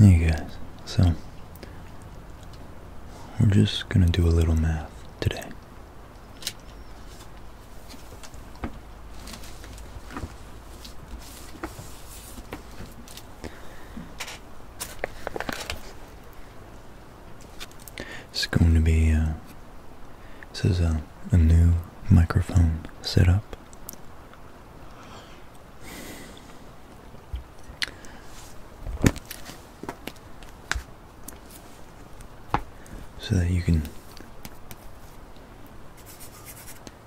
Hey guys, so we're just gonna do a little math today. It's going to be, uh, this is a, a new microphone setup. So that you can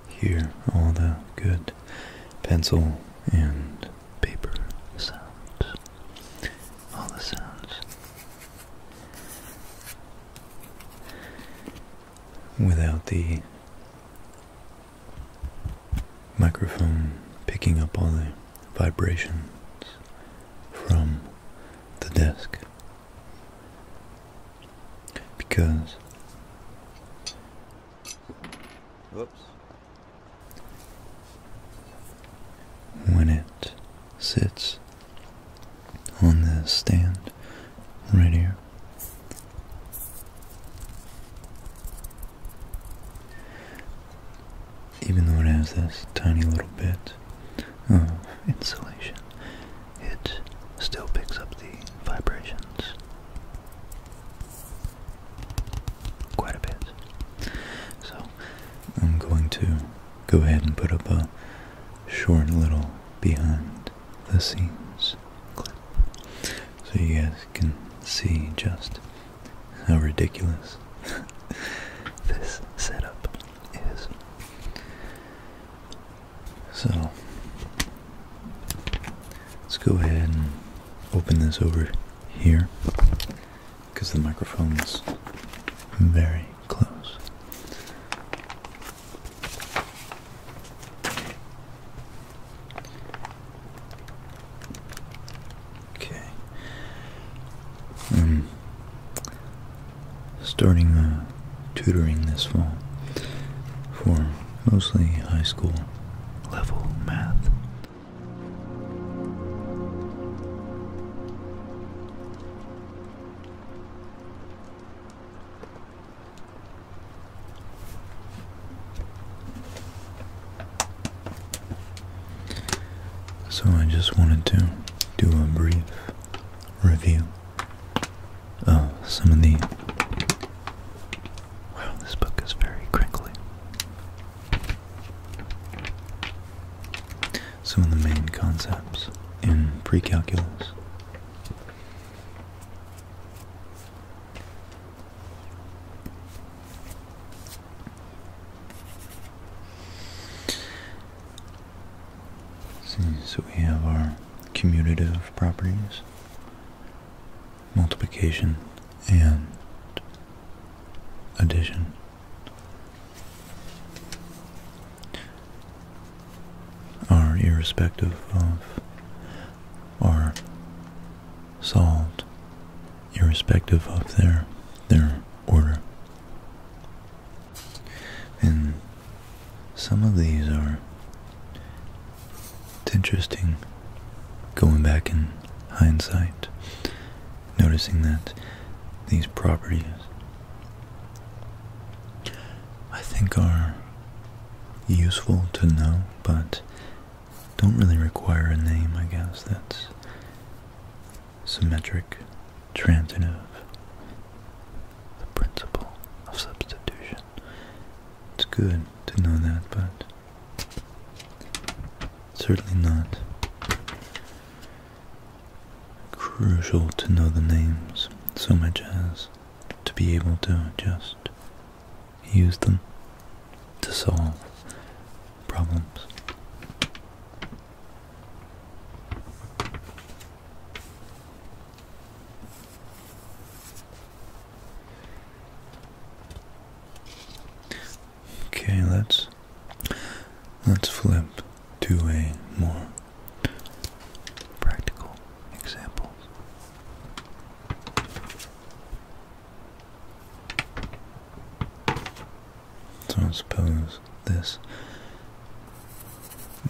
here, all the good pencil and paper sounds. All the sounds. Without the microphone picking up all the vibrations from the desk because Oops. when it sits on the stand right here, even though it has this tiny little bit of insulation, it still picks up the vibrations quite a bit. So I'm going to go ahead and put up a short little behind the scenes clip so you guys can see just how ridiculous this setup is. So let's go ahead and open this over here because the microphone's very close. Okay. Um, starting uh, tutoring this fall for mostly high school level math. So I just wanted to do a brief review Oh, some of the. Wow, this book is very crinkly. Some of the main concepts in precalculus. See, so we have our commutative properties, multiplication, and addition. Are irrespective of, are solved irrespective of their their order. And some of these are interesting going back in hindsight, noticing that these properties I think are useful to know, but don't really require a name, I guess, that's symmetric transitive, the principle of substitution. It's good to know that, but certainly not crucial to know the names so much as to be able to just use them to solve problems. Okay, let's let's flip to a more practical example. So suppose this.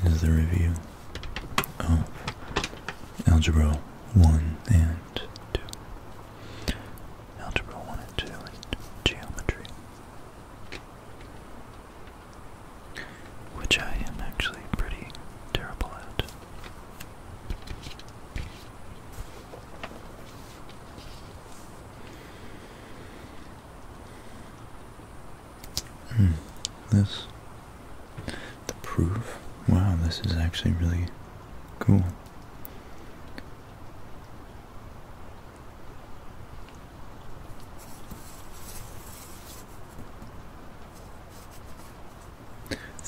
is the review of Algebra 1 and 2. Algebra 1 and 2 and geometry. Which I am actually pretty terrible at. Mm, this, the proof. Wow, this is actually really cool.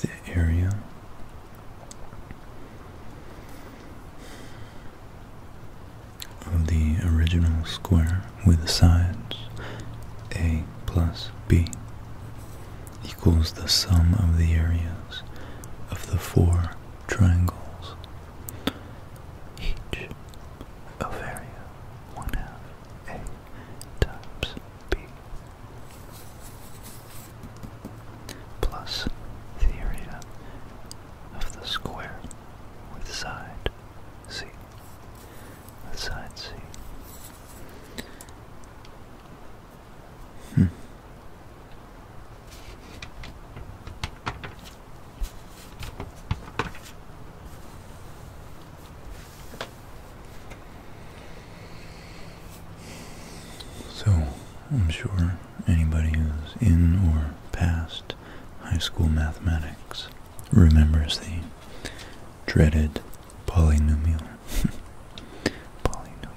The area of the original square with sides a plus b equals the sum of the areas of the four triangles, each of area 1 half a times b plus the area of the square with side c the side see. Hmm. So, I'm sure anybody who's in or past high school mathematics remembers the dreaded polynomial. polynomial.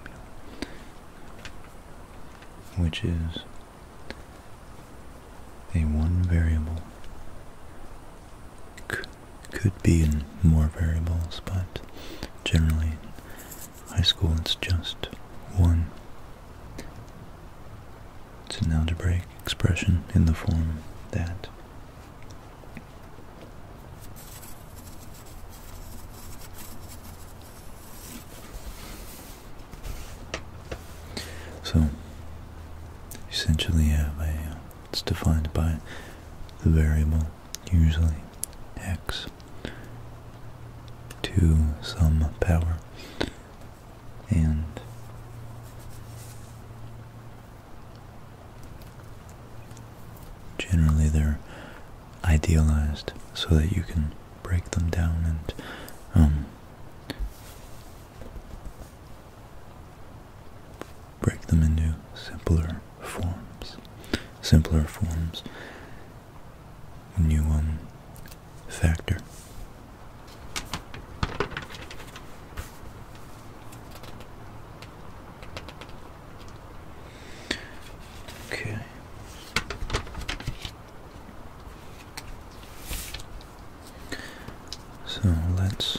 Which is a one variable. could be in more variables, but generally high school it's just one it's an algebraic expression in the form that. So, essentially have a, uh, it's defined by the variable, usually x, to some power and generally they're idealized so that you can break them down and um, break them into simpler forms. Simpler forms when you um, factor Okay. So let's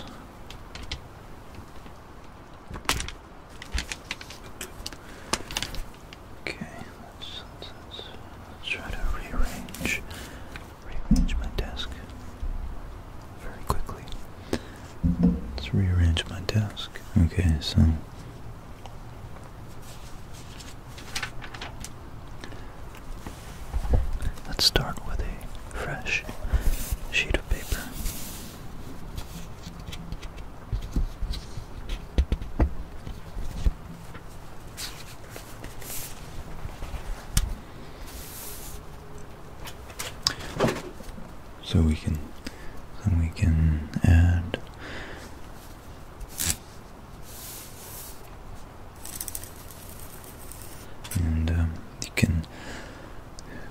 Okay, let's, try to rearrange rearrange my desk very quickly. Let's rearrange my desk. Okay, so let's start with a fresh sheet of paper. So we can, we can add and um, can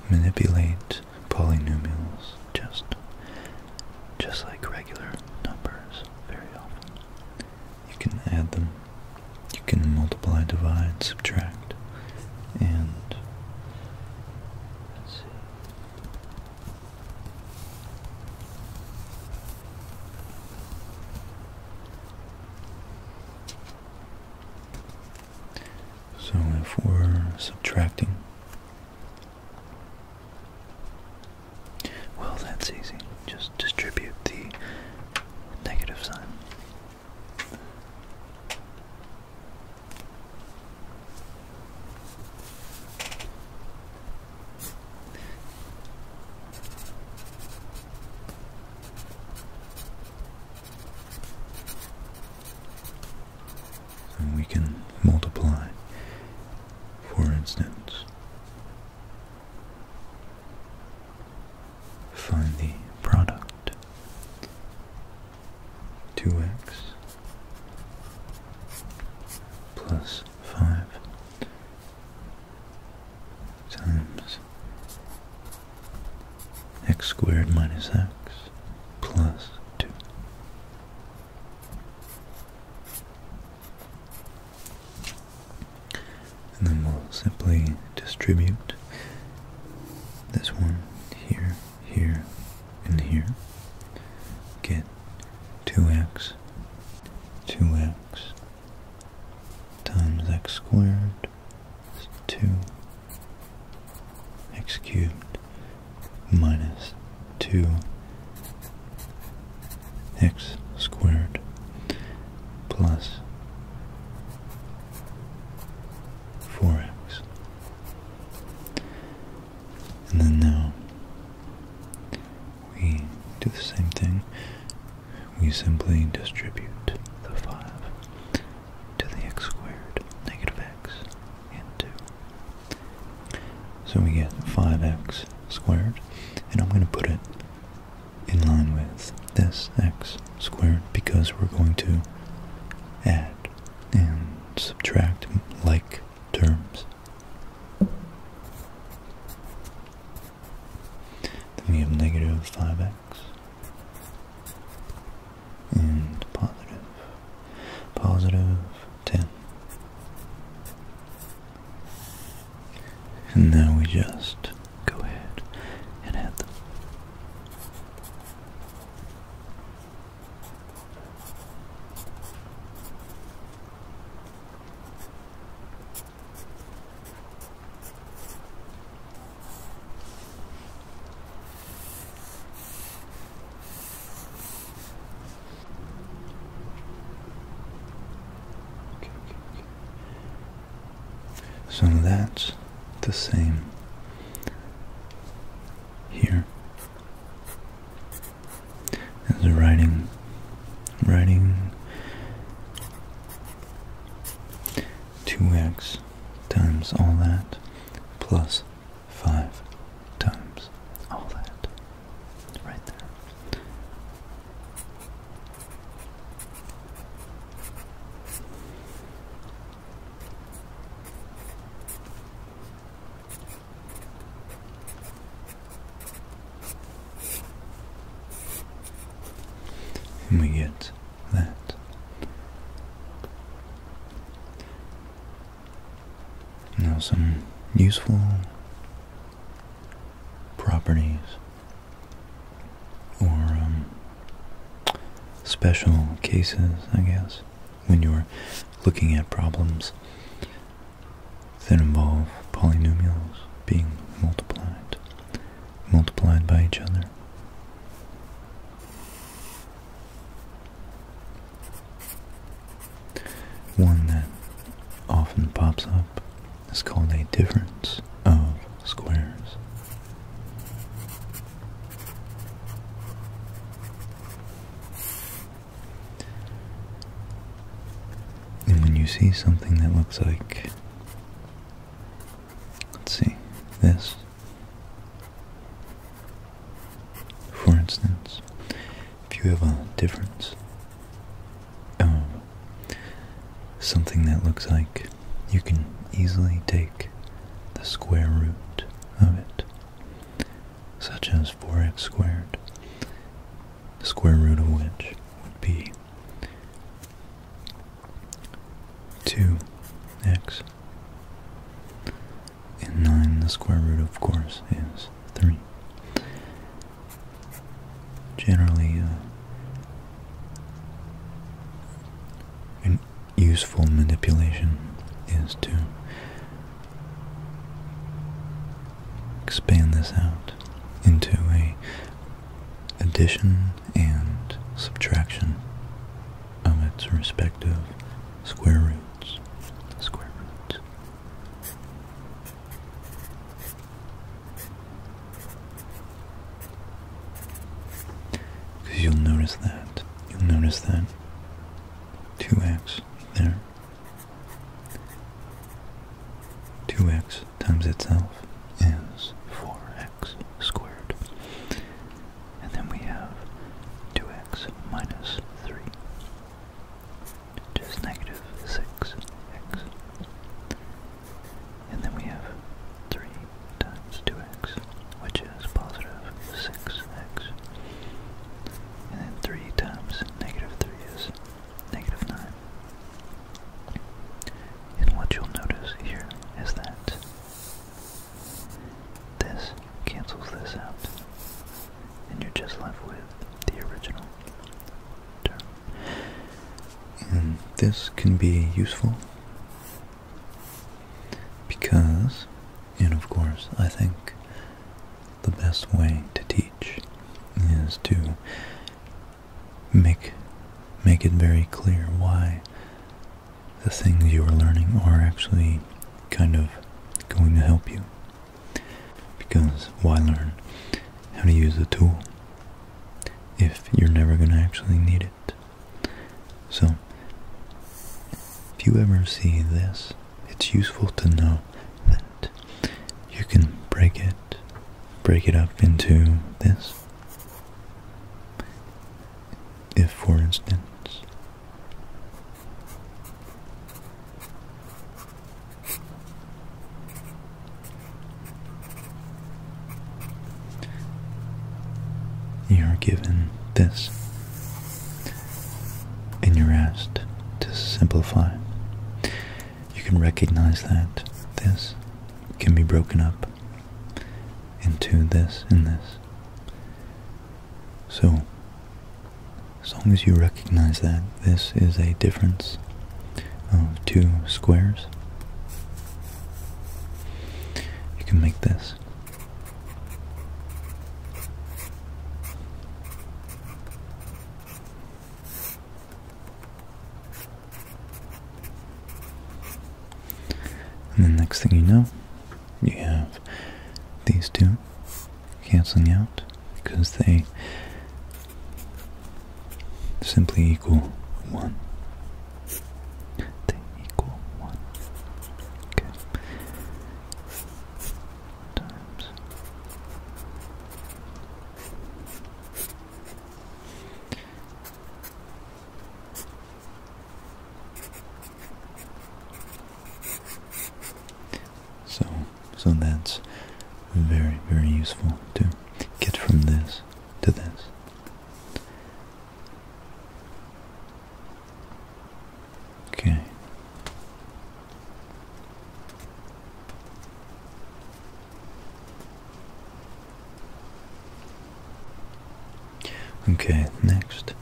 manipulate polynomials just just like regular numbers very often. You can add them, you can multiply, divide, subtract, and So if we're subtracting, well that's easy. Just distribute the negative sign. And we can multiply, for instance, find the product 2x plus 5 times x squared minus x plus 2 and then we'll simply distribute this one here, here, and here. Get 2x, 2x times x squared is 2 x cubed minus 2 x squared plus 4x. And then now we do the same thing. We simply distribute the 5 to the x squared, negative x, into. So we get 5x squared, and I'm going to put it in line with this x squared because we're going to add and subtract like terms. Then we have negative 5x and positive, positive 10. And now we just go ahead and add them. Okay, so that's the same here as writing writing 2x times all that plus 5 times all that right there we get that. Now, some useful properties or um, special cases, I guess, when you're looking at problems that involve polynomials being multiplied, multiplied by each other. One that often pops up is called a difference of squares. And when you see something that looks like, let's see, this, for instance, if you have a difference um, something that looks like you can easily take the square root of it, such as 4x squared, the square root of which would be 2x. And 9, the square root, of course, is 3 generally uh, a useful manipulation is to expand this out into a addition and subtraction of its respective square roots because you'll notice that. You'll notice that 2x there. 2x times itself is 4x squared. And then we have 2x minus 3, which negative 6x. And then we have 3 times 2x, which is positive 6x. And then 3 times negative 3 is negative 9. And what you'll notice here is that this cancels this out. And you're just left with the original term. And this can be useful because, and of course, I think the best way to teach is to make make it very clear why the things you are learning are actually kind of going to help you. Because why learn how to use a tool if you're never going to actually need it. So, if you ever see this, it's useful to know that you can break it, break it up into this. If, for instance, you are given this, and you're asked to simplify. You can recognize that this can be broken up into this and this. So, as long as you recognize that this is a difference of two squares. You can make this. And the next thing you know, you have these two canceling out because they simply equal 1. They equal 1. Okay. Times. So, so that's very, very useful to get from this to this. Okay. Okay, next.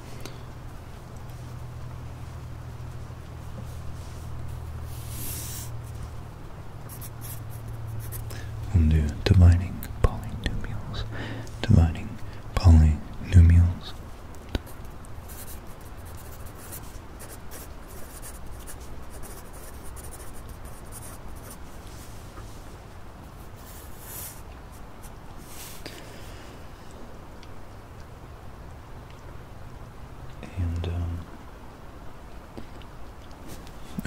We'll do divining polynomials, dividing polynomials. And um,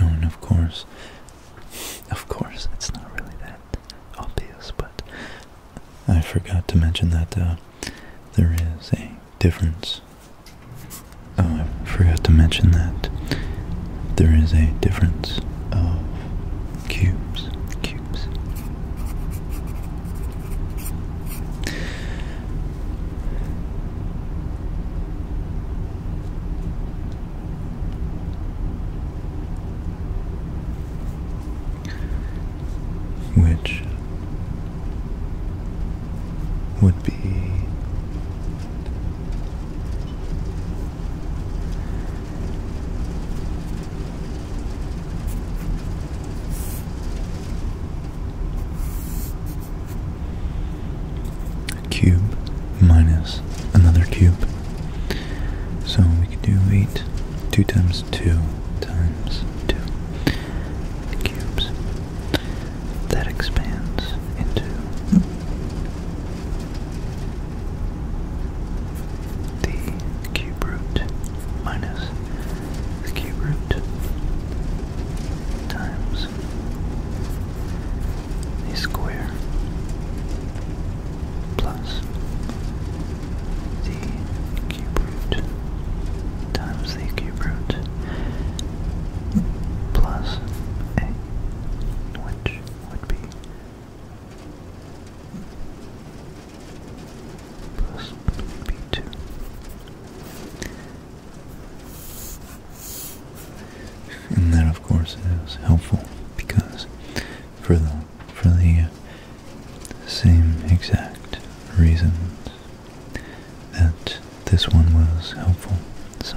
Oh, and of course, of course, it's not really that obvious, but I forgot to mention that uh, there is a difference. Oh, I forgot to mention that there is a difference of cubes. Cubes which would be cube minus another cube. So we could do 8, 2 times 2 times 2 cubes. That expands into the cube root minus the cube root times is a square plus the cube root times the cube root plus a, would be plus b2 and that of course is helpful because for the for the same exact reasons that this one was helpful so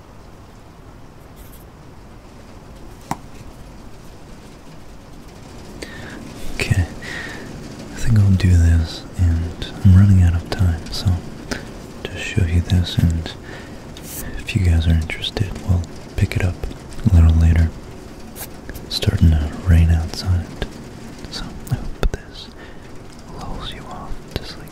Okay, I think I'll do this, and I'm running out of time, so just show you this, and if you guys are interested, we'll pick it up a little later. starting to rain outside, so I hope this lulls you off to sleep.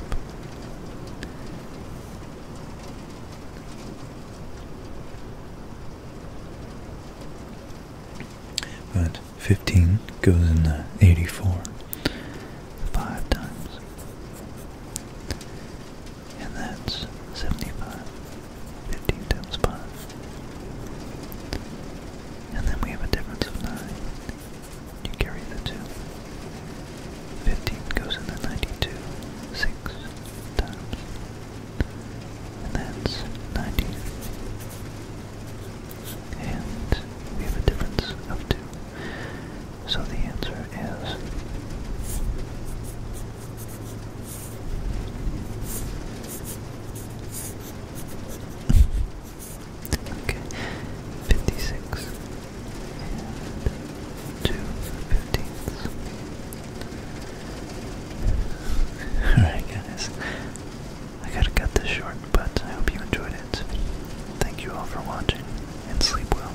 But 15 goes in 84 five times. And that's 75. 15 times 5. And then we have a difference of 9. You carry the 2. 15 goes in the 92 six times. And that's 90. And we have a difference of 2. So the answer is... Okay, 56 Two fifteenths. Alright guys. I gotta cut this short, but I hope you enjoyed it. Thank you all for watching and sleep well.